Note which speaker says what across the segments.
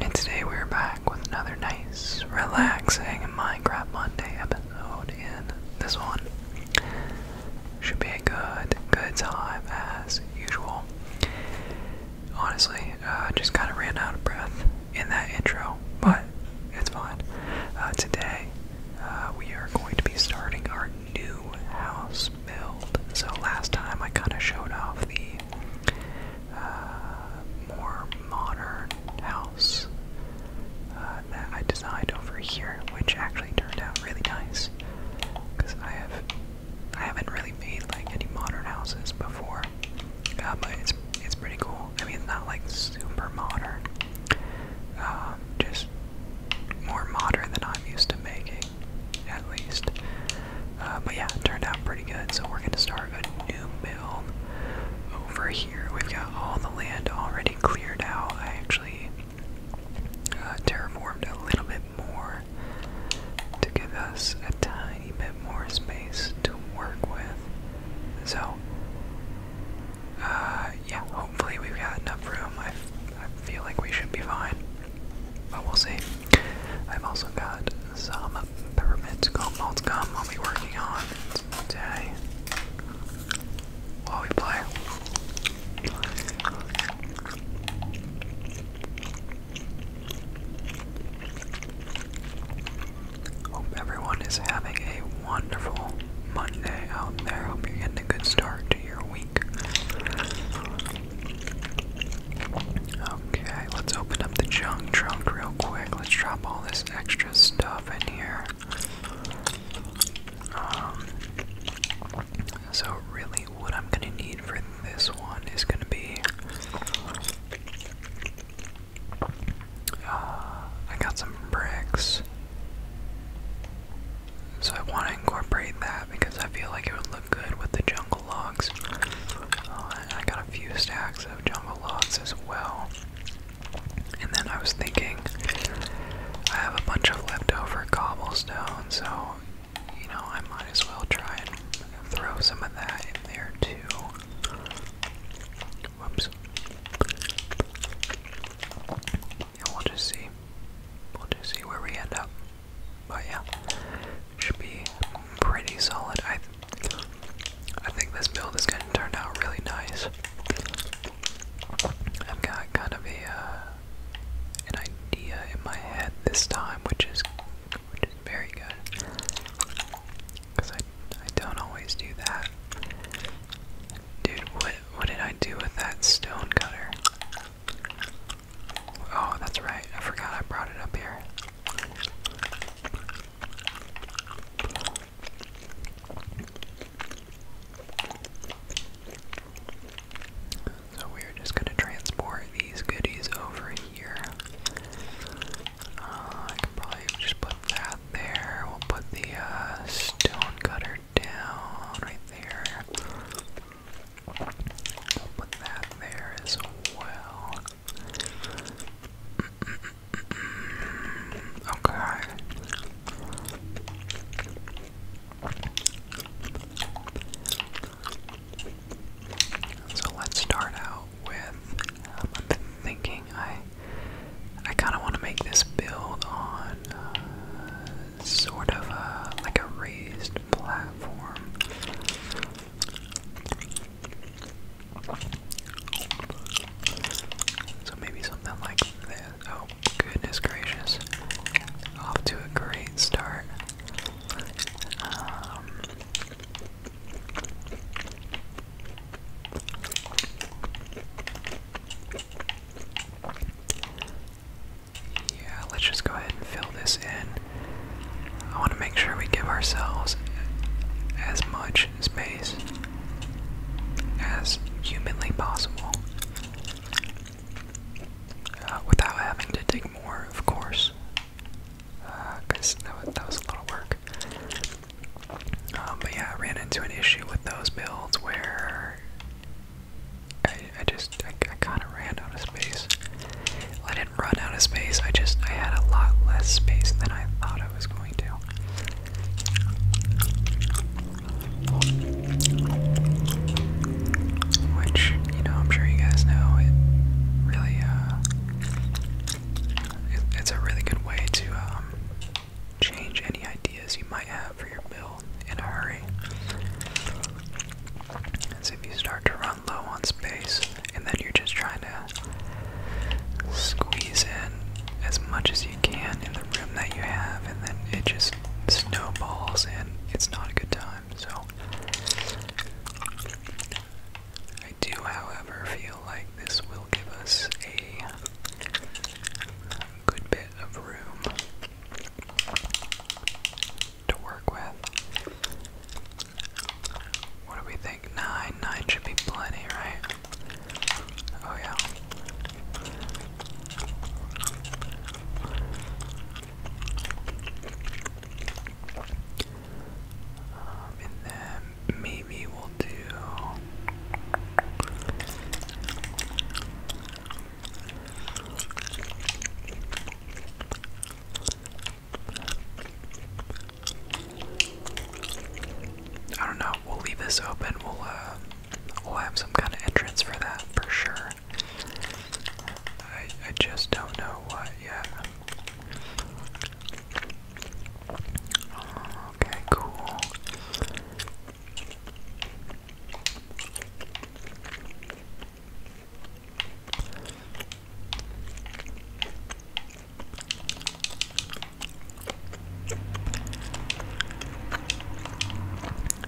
Speaker 1: And today we're back with another nice, relaxing Minecraft Monday episode. And this one should be a good, good time as usual. Honestly, I uh, just kind of ran out of breath in that intro, but it's fine. Uh, today, uh, we are going to be starting our new house build. So last time I kind of showed off the uh, more modern house uh, that I designed over here, which actually turned out really nice. Because I have, I haven't really made like any modern houses before, uh, but it's it's pretty cool. I mean, it's not like super modern, um, just more modern than I'm used to making at least. Uh, but yeah, it turned out pretty good. So we're gonna start a new build over here. We've got all the land already cleared out. I actually uh, terraformed a little bit more to give us a tiny bit more space to work with. So. Uh, yeah, hopefully we've got enough room. I feel like we should be fine, but we'll see. I've also got some peppermint gum malt gum I'll be working on today while we play. Hope everyone is having a wonderful Monday out there. Hope you're getting a good start to your week. Okay, let's open up the junk trunk real quick. Let's drop all this extra stuff in here. Um, so really, what I'm gonna need for this one is gonna be. Uh, I got some bricks, so I want to incorporate that because I feel like it would look good with the jungle logs. Uh, I got a few stacks of jungle logs as well. And then I was thinking, I have a bunch of leftover cobblestone, so you know, I might as well try and throw some of that in there too. Whoops. And we'll just see. We'll just see where we end up. But yeah, should be pretty solid. I, I think this build is going to turn out really nice. I've got kind of a uh, an idea in my head this time, which is which is very good because I I don't always do that. Dude, what what did I do with that stone cutter? Oh, that's right. I forgot I brought it up here. So we're just going to transport these goodies over here. Uh, I can probably just put that there. We'll put the uh, stone cutter down right there put that there as well. Okay. So let's start out with. I'm um, thinking I, I kind of want to make this build on uh, sort of a, like a raised platform. So maybe something like this. Oh, goodness gracious. Off to a great start. Um, yeah, let's just go ahead and fill this in. I want to make sure we give ourselves as much space as humanly possible uh, without having to dig more, of course, because uh, that, was a lot of work. Um, but yeah, I ran into an issue with those builds where I just I, kind of ran out of space. Well, I didn't run out of space. I just I had a lot less space than I thought I was going to. Which you know I'm sure you guys know it really uh it's a really good way to um change any ideas you might have for your build in a hurry. As if you start to run low on space, and then you're just trying to squeeze in as much as you can in the room that you have, and then it just snowballs, and it's not a good time. So, I do, however, feel like this will give us a good bit of room to work with. What do we think? Nine. Nine should be plenty, right? Oh, yeah. Um, and then maybe we'll do. I don't know. We'll leave this open. We'll uh, we'll have some kind of entrance for that for sure. I I just don't know what yet. Okay, cool.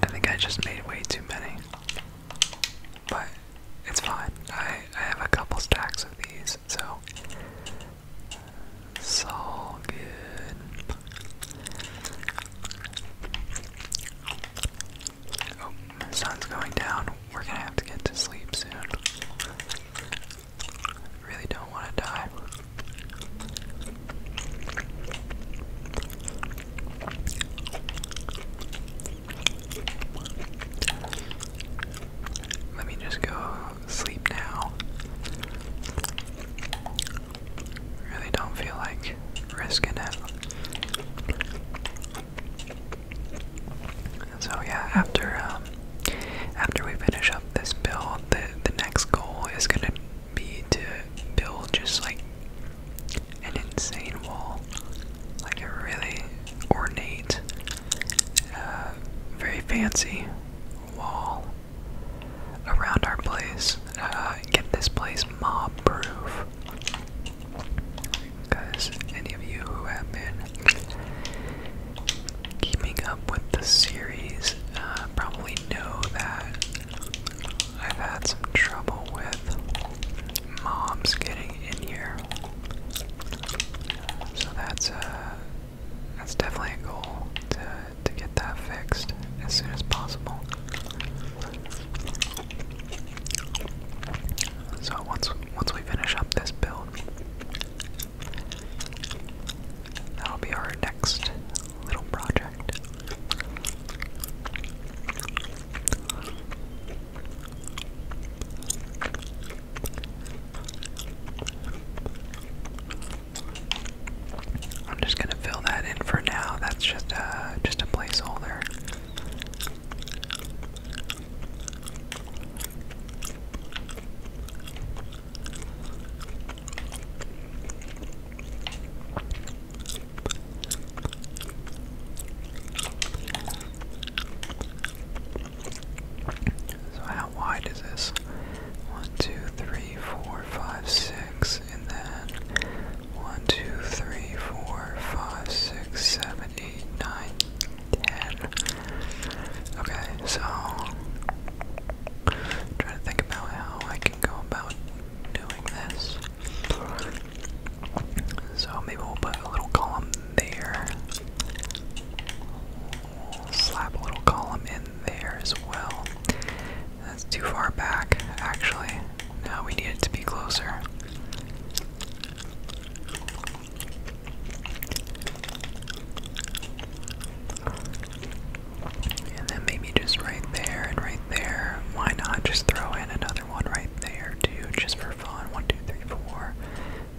Speaker 1: I think I just made way too many. But it's fine. I, I have a couple stacks of these, so it's all good the oh, sun's going down. We're gonna have to get to sleep soon. Really don't want to die. Let me just go sleep now. Really don't feel like risking it. So yeah, after um, after we finish up this build, the next goal is gonna be to build just like an insane wall, like a really ornate, uh, very fancy wall around our place. Uh, get this place mob proof. Guys, any of you who have been keeping up with the series uh, probably know that I've had some trouble with moms getting in here. So that's uh, that's definitely a goal to to get that fixed as soon as possible. So once once we finish up this build, that'll be our next little project. I'm just gonna fill that in for now. That's just a just a placeholder. So how wide is this? One, two, three, four, five, six, and then one, two, three, four, five, six, seven, seven, eight, nine, ten. Okay, so trying to think about how I can go about doing this. So maybe we'll put a little column there. We'll slap a little column in there as well. That's too far back, actually. Now we need it to be closer. And then maybe just right there and right there. Why not just throw in another one right there too, just for fun? One, two, three, four.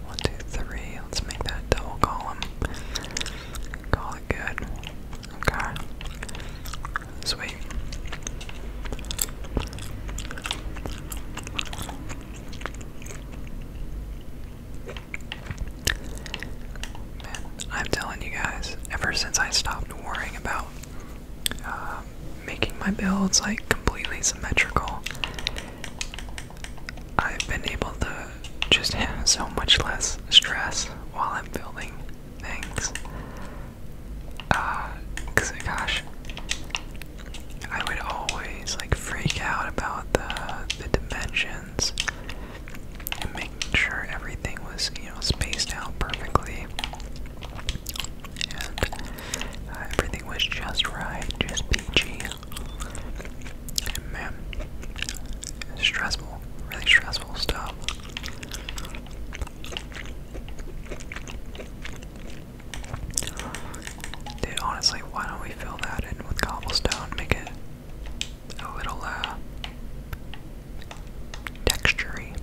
Speaker 1: One, two, three. Let's make that double column. Call it good. Okay. Sweet. Man, I'm telling you guys, ever since I stopped worrying about uh, making my builds like completely symmetrical, I've been able to just have so much less stress while I'm building things. Uh, gosh, I would always like freak out about the the dimensions and making sure everything was you know spaced out perfectly and uh, everything was just right, just peachy. man, stressful, really stressful stuff. Dude, honestly, why don't we fill that in with cobblestone? Make it a little, uh, textury.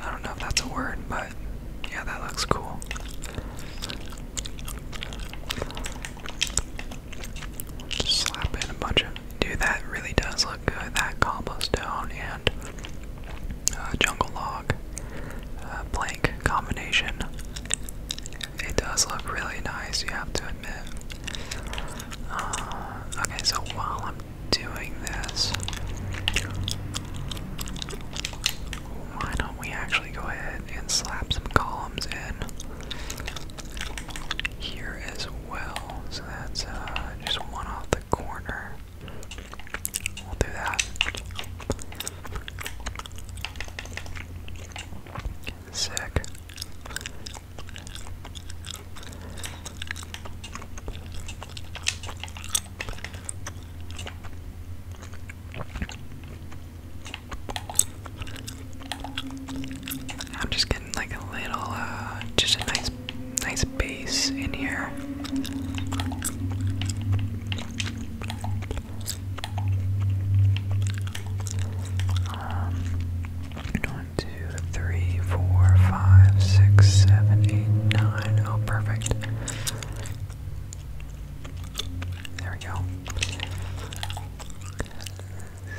Speaker 1: I don't know if that's a word, but yeah, that looks cool. slap in a bunch of. Dude, that really does look good. That cobblestone and uh, jungle log uh, blank combination. It does look really nice, you have to admit. Uh, okay, so while I'm doing this, why don't we actually go ahead and slap some columns in here as well? So that's uh, just one off the corner. We'll do that. Sick. I'm just getting like a little, uh, just a nice nice, base in here. Um, one, two, three, four, five, six, seven, eight, nine. Oh, perfect. There we go.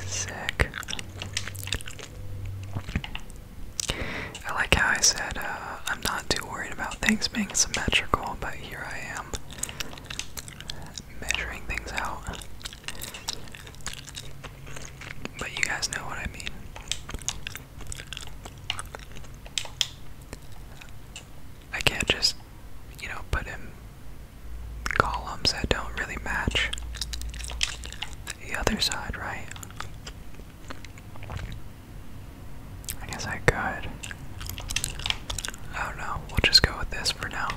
Speaker 1: Sick. I like how I said uh, I'm not too worried about things being symmetrical, but here I am measuring things out. But you guys know what I mean. I can't just, you know, put in columns that don't really match the other side, right? I guess I could. Oh no, we'll just go with this for now.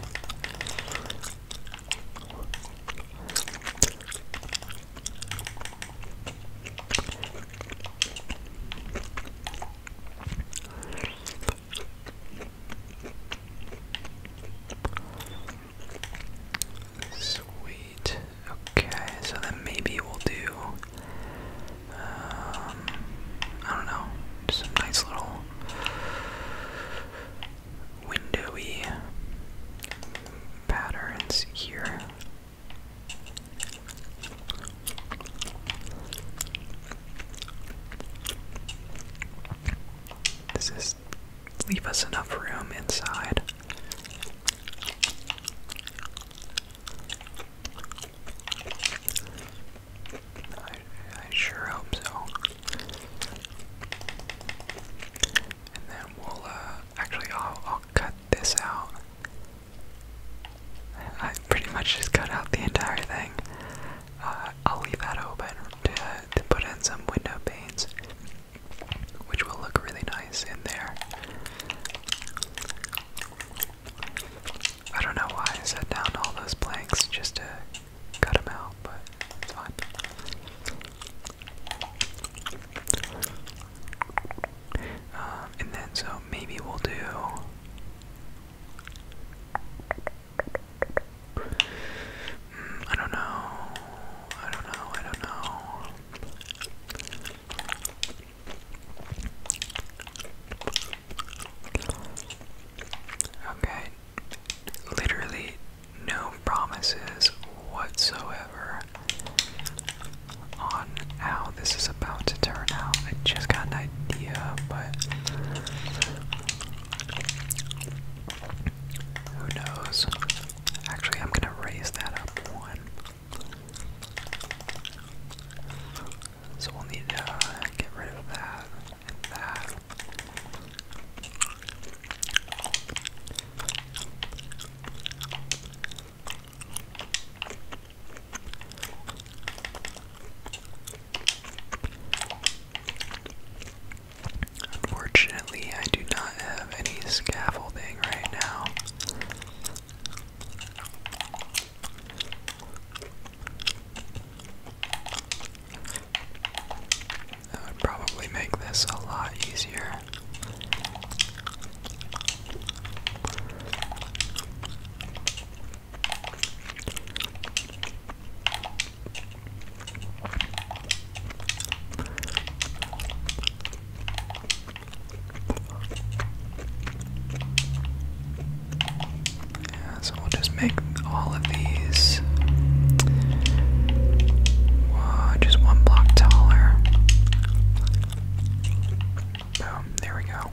Speaker 1: Sweet. Okay, so then maybe we'll do. Um, I don't know, just a nice little windowy patterns here. This is leave us enough room inside. I, I sure hope so. And then we'll, uh, actually, I'll, I'll cut this out. I, pretty much just cut out the entire thing. Uh, I'll leave that open to, to put in some window panes which will look really nice in there. I don't know why I set down all those planks just to cut them out, but it's fine. Um, and then, so maybe we'll do. Hmm, I don't know. I don't know. I don't know. Okay, literally no promises whatsoever on how this is about to turn out. I just got an idea, but who knows? Actually, I'm going to raise that up one. So we'll need to uh, get rid of that and that. Unfortunately, I do not have any scaffolding right now. That would probably make this a lot easier so we'll just make all of these uh, just one block taller. there we go.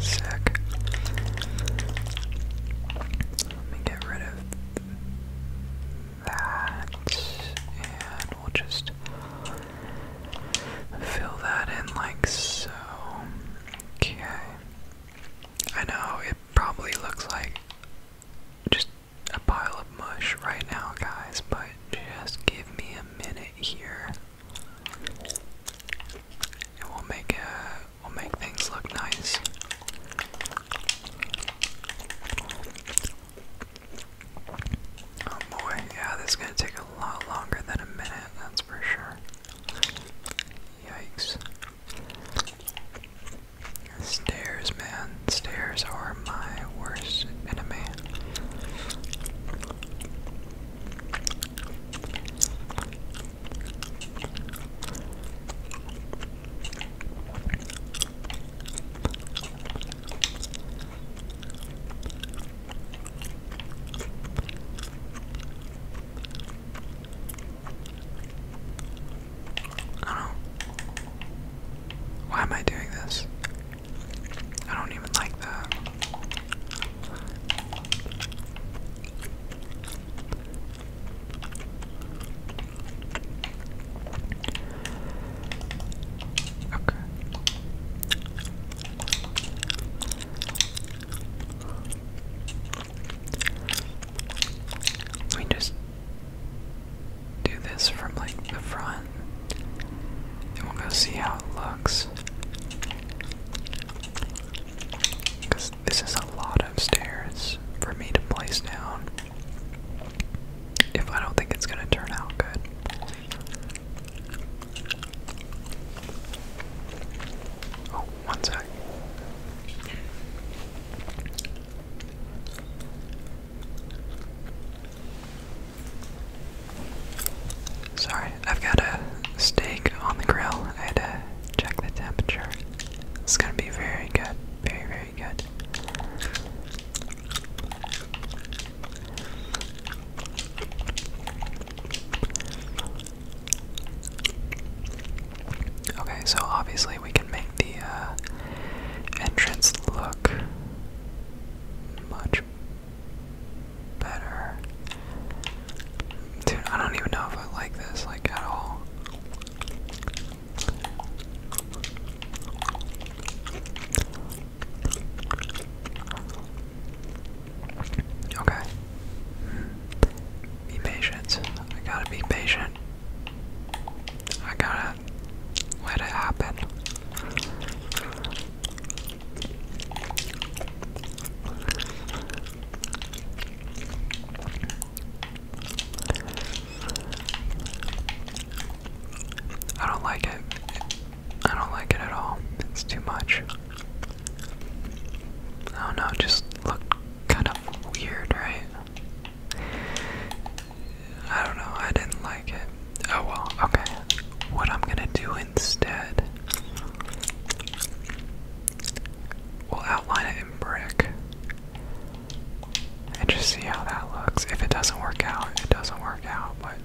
Speaker 1: Sick. Let me get rid of that, and we'll just fill that in like so. Okay. I know it probably looks like just a pile of mush right now, guys, but just give me a minute here. And we'll make a, uh, we'll make things look nice. Oh boy, yeah, this is gonna take a lot longer than a minute, that's for sure. Yikes. Stairs, man. Stairs are my worst enemy. I Why am I doing this? I don't even like that. Okay. We just do this from like the front and we'll go see how it looks. Because this is a lot of stairs for me to place down if I don't think it's going to turn out good. Oh, one sec. Sorry, I've got a steak on the grill. I had to check the temperature. It's gonna be very good. Very, very Okay, so obviously we can make the uh, entrance look much better. Dude, I don't even know if I like this like at all. Okay. Be patient. I gotta be patient. I gotta let it happen. I don't like it. I don't like it at all. It's too much. I don't know, just looked kind of weird, right? I don't know, I didn't like it. Oh well, okay. What I'm gonna do instead, we'll outline it in brick and just see how that looks. If it doesn't work out, it doesn't work out, but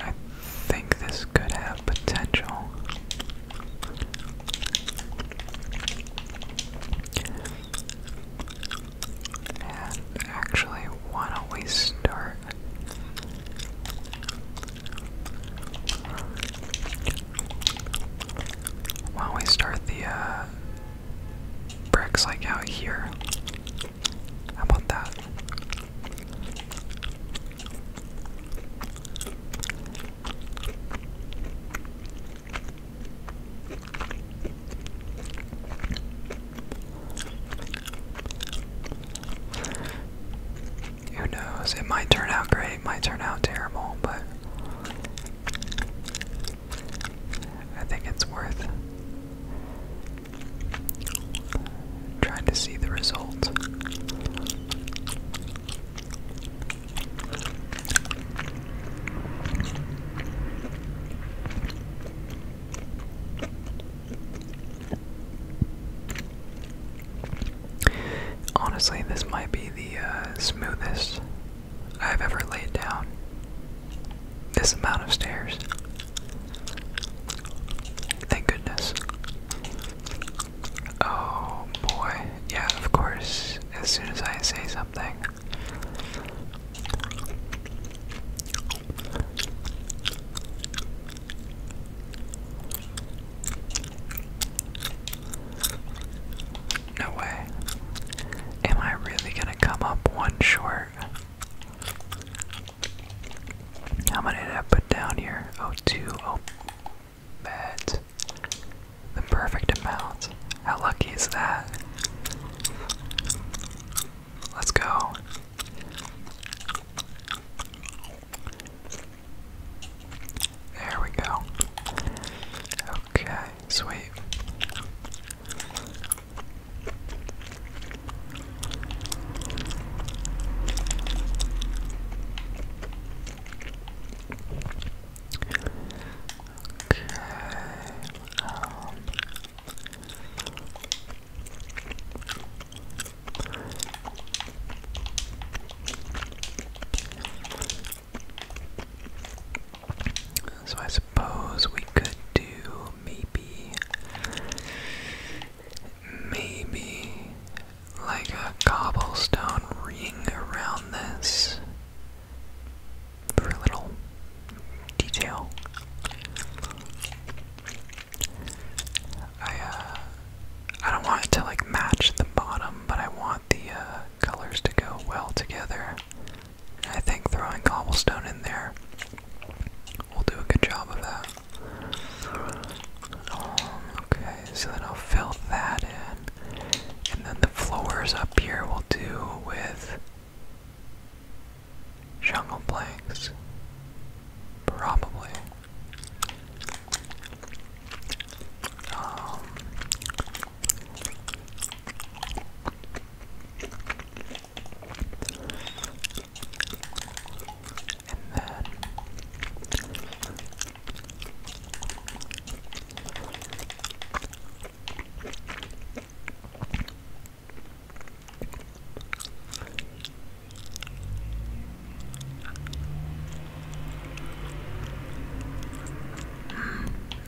Speaker 1: I, think this could have potential. And actually, why don't we start? Why don't we start the uh, bricks like out here. How about that? Who knows? It might turn out great, might turn out terrible, but I think it's worth trying to see the result. Honestly, this might be the uh, smoothest I have ever laid down this amount of stairs. Thank goodness. Oh boy, yeah, of course, as soon as I say something. No way. Am I really gonna come up one short? How many did I put down here? Oh, two. Oh, that's the perfect amount. How lucky is that? Let's go. There we go. Okay. Sweet. Okay. So I suppose we could do maybe, maybe like a cobblestone ring around this for a little detail. I uh, I don't want it to like match the bottom, but I want the uh, colors to go well together. I think throwing cobblestone in there will do a good job of that. Um, okay, so then I'll fill that in. And then the floors up here will do with jungle planks. Probably. Um,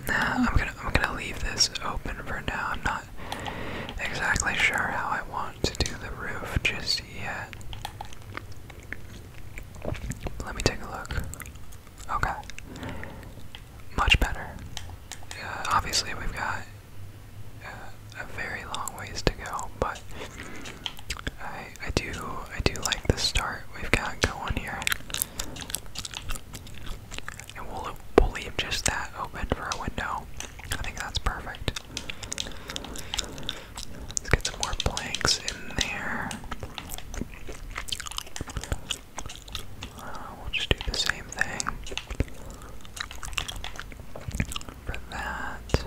Speaker 1: now mm, I'm going to I'm gonna leave this open for now. I'm not exactly sure how I want to do the roof just yet. Let me take a look. Okay. Much better. Uh, obviously, we've got uh, a very long ways to go, but I I do I do like the start we've got going here. And we'll, leave just that open for our window. I think that's perfect. Let's get some more planks in there. Uh, we'll just do the same thing for that.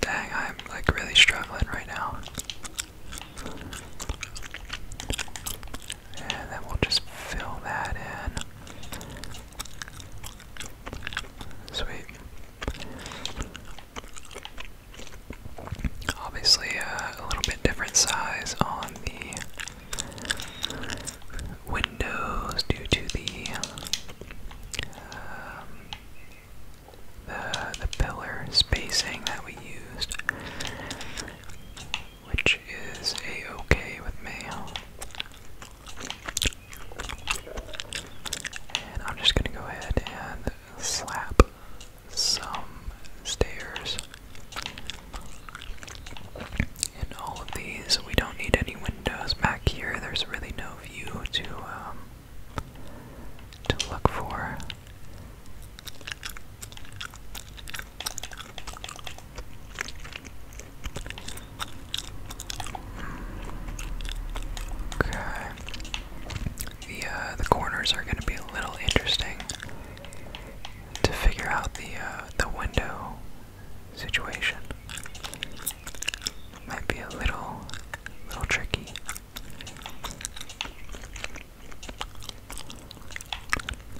Speaker 1: Dang, I'm like really struggling right now. And then we'll just fill that in. Sweet. Obviously, uh, a little bit different size on the windows due to the um, the, the pillar spacing that we used, which is a-okay with me. And I'm just gonna go ahead and slap some stairs in all of these. We don't need any windows back here. There's really no view to uh, um, to look for. Okay. The uh, the corners are going to be a little interesting to figure out the uh, the window situation might be a little, little tricky.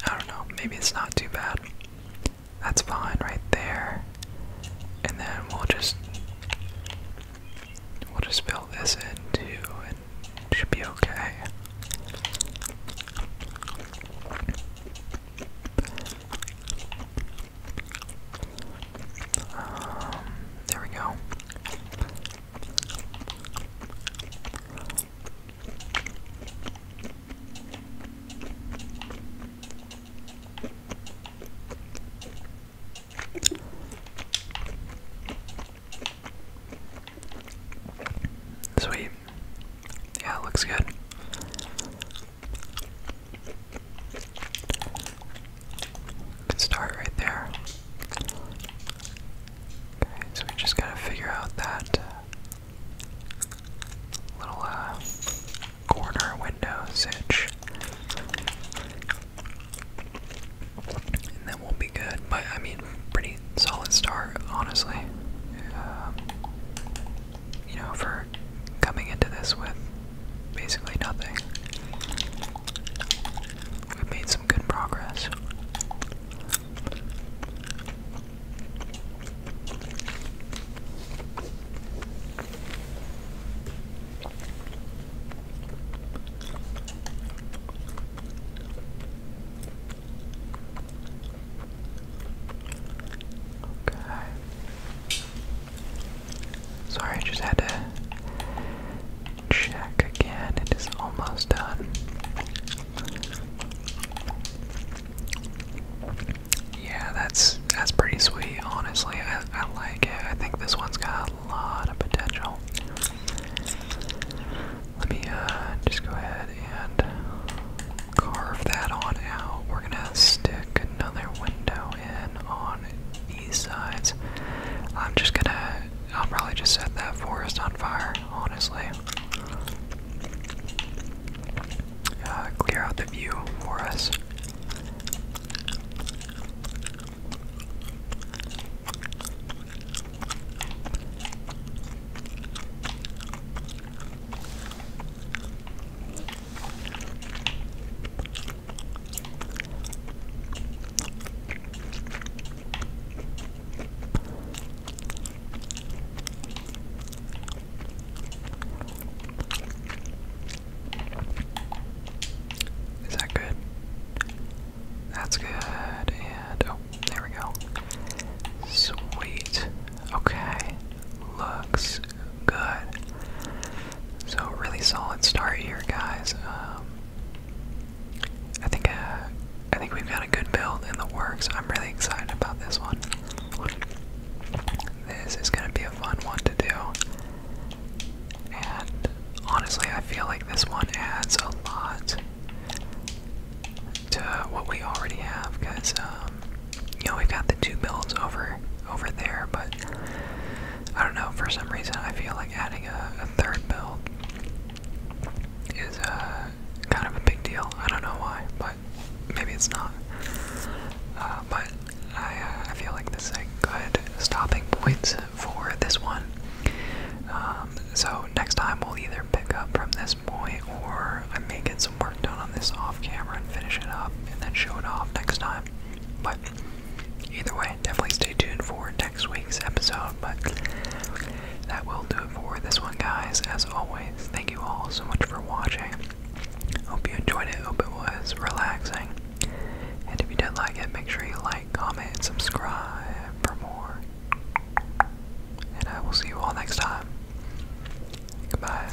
Speaker 1: I don't know, maybe it's not too bad. That's fine right there. And then we'll just we'll just fill this in too and it should be okay. Um, there we go. Sweet. Yeah, looks good. Good start right there. Okay, so we just gotta figure out that uh, little uh, corner window sitch. And then we'll be good. But I mean, pretty solid start, honestly. Um, you know, for coming into this with basically nothing. We've made some good progress. Okay. Sorry, I just had to check again. It is almost done. Yeah, that's that's pretty sweet. Honestly, I, I like it. I think this one's got a lot of potential. Let me uh, just go ahead and carve that on out. We're gonna stick another window on these sides. I'm just gonna, I'll probably just set that forest on fire, honestly. Uh, clear out the view for us. Is that good? That's good, and oh, there we go. Sweet. Okay, looks good. So really solid start here, guys. Um, I think uh, I think we've got a good build in the works. I'm really excited about this one. This is gonna be a fun one to do, and honestly, I feel like this one adds a lot to what we already have, because um, you know, we've got the two builds over over there, but I don't know, for some reason I feel like adding a, third build is uh, kind of a big deal. I don't know why, but maybe it's not. Uh, but I, uh, I feel like this is a good stopping point for this one. Um, so next time we'll either pick up from this point or I may get some work done on this off camera and finish it up and then show it off next time. But either way, definitely stay tuned for next week's episode. But that will do it for this one, guys. As always, thank you all so much for watching. Hope you enjoyed it. Hope it was relaxing. And if you did like it, make sure you like, comment, subscribe for more. And I will see you all next time. Goodbye.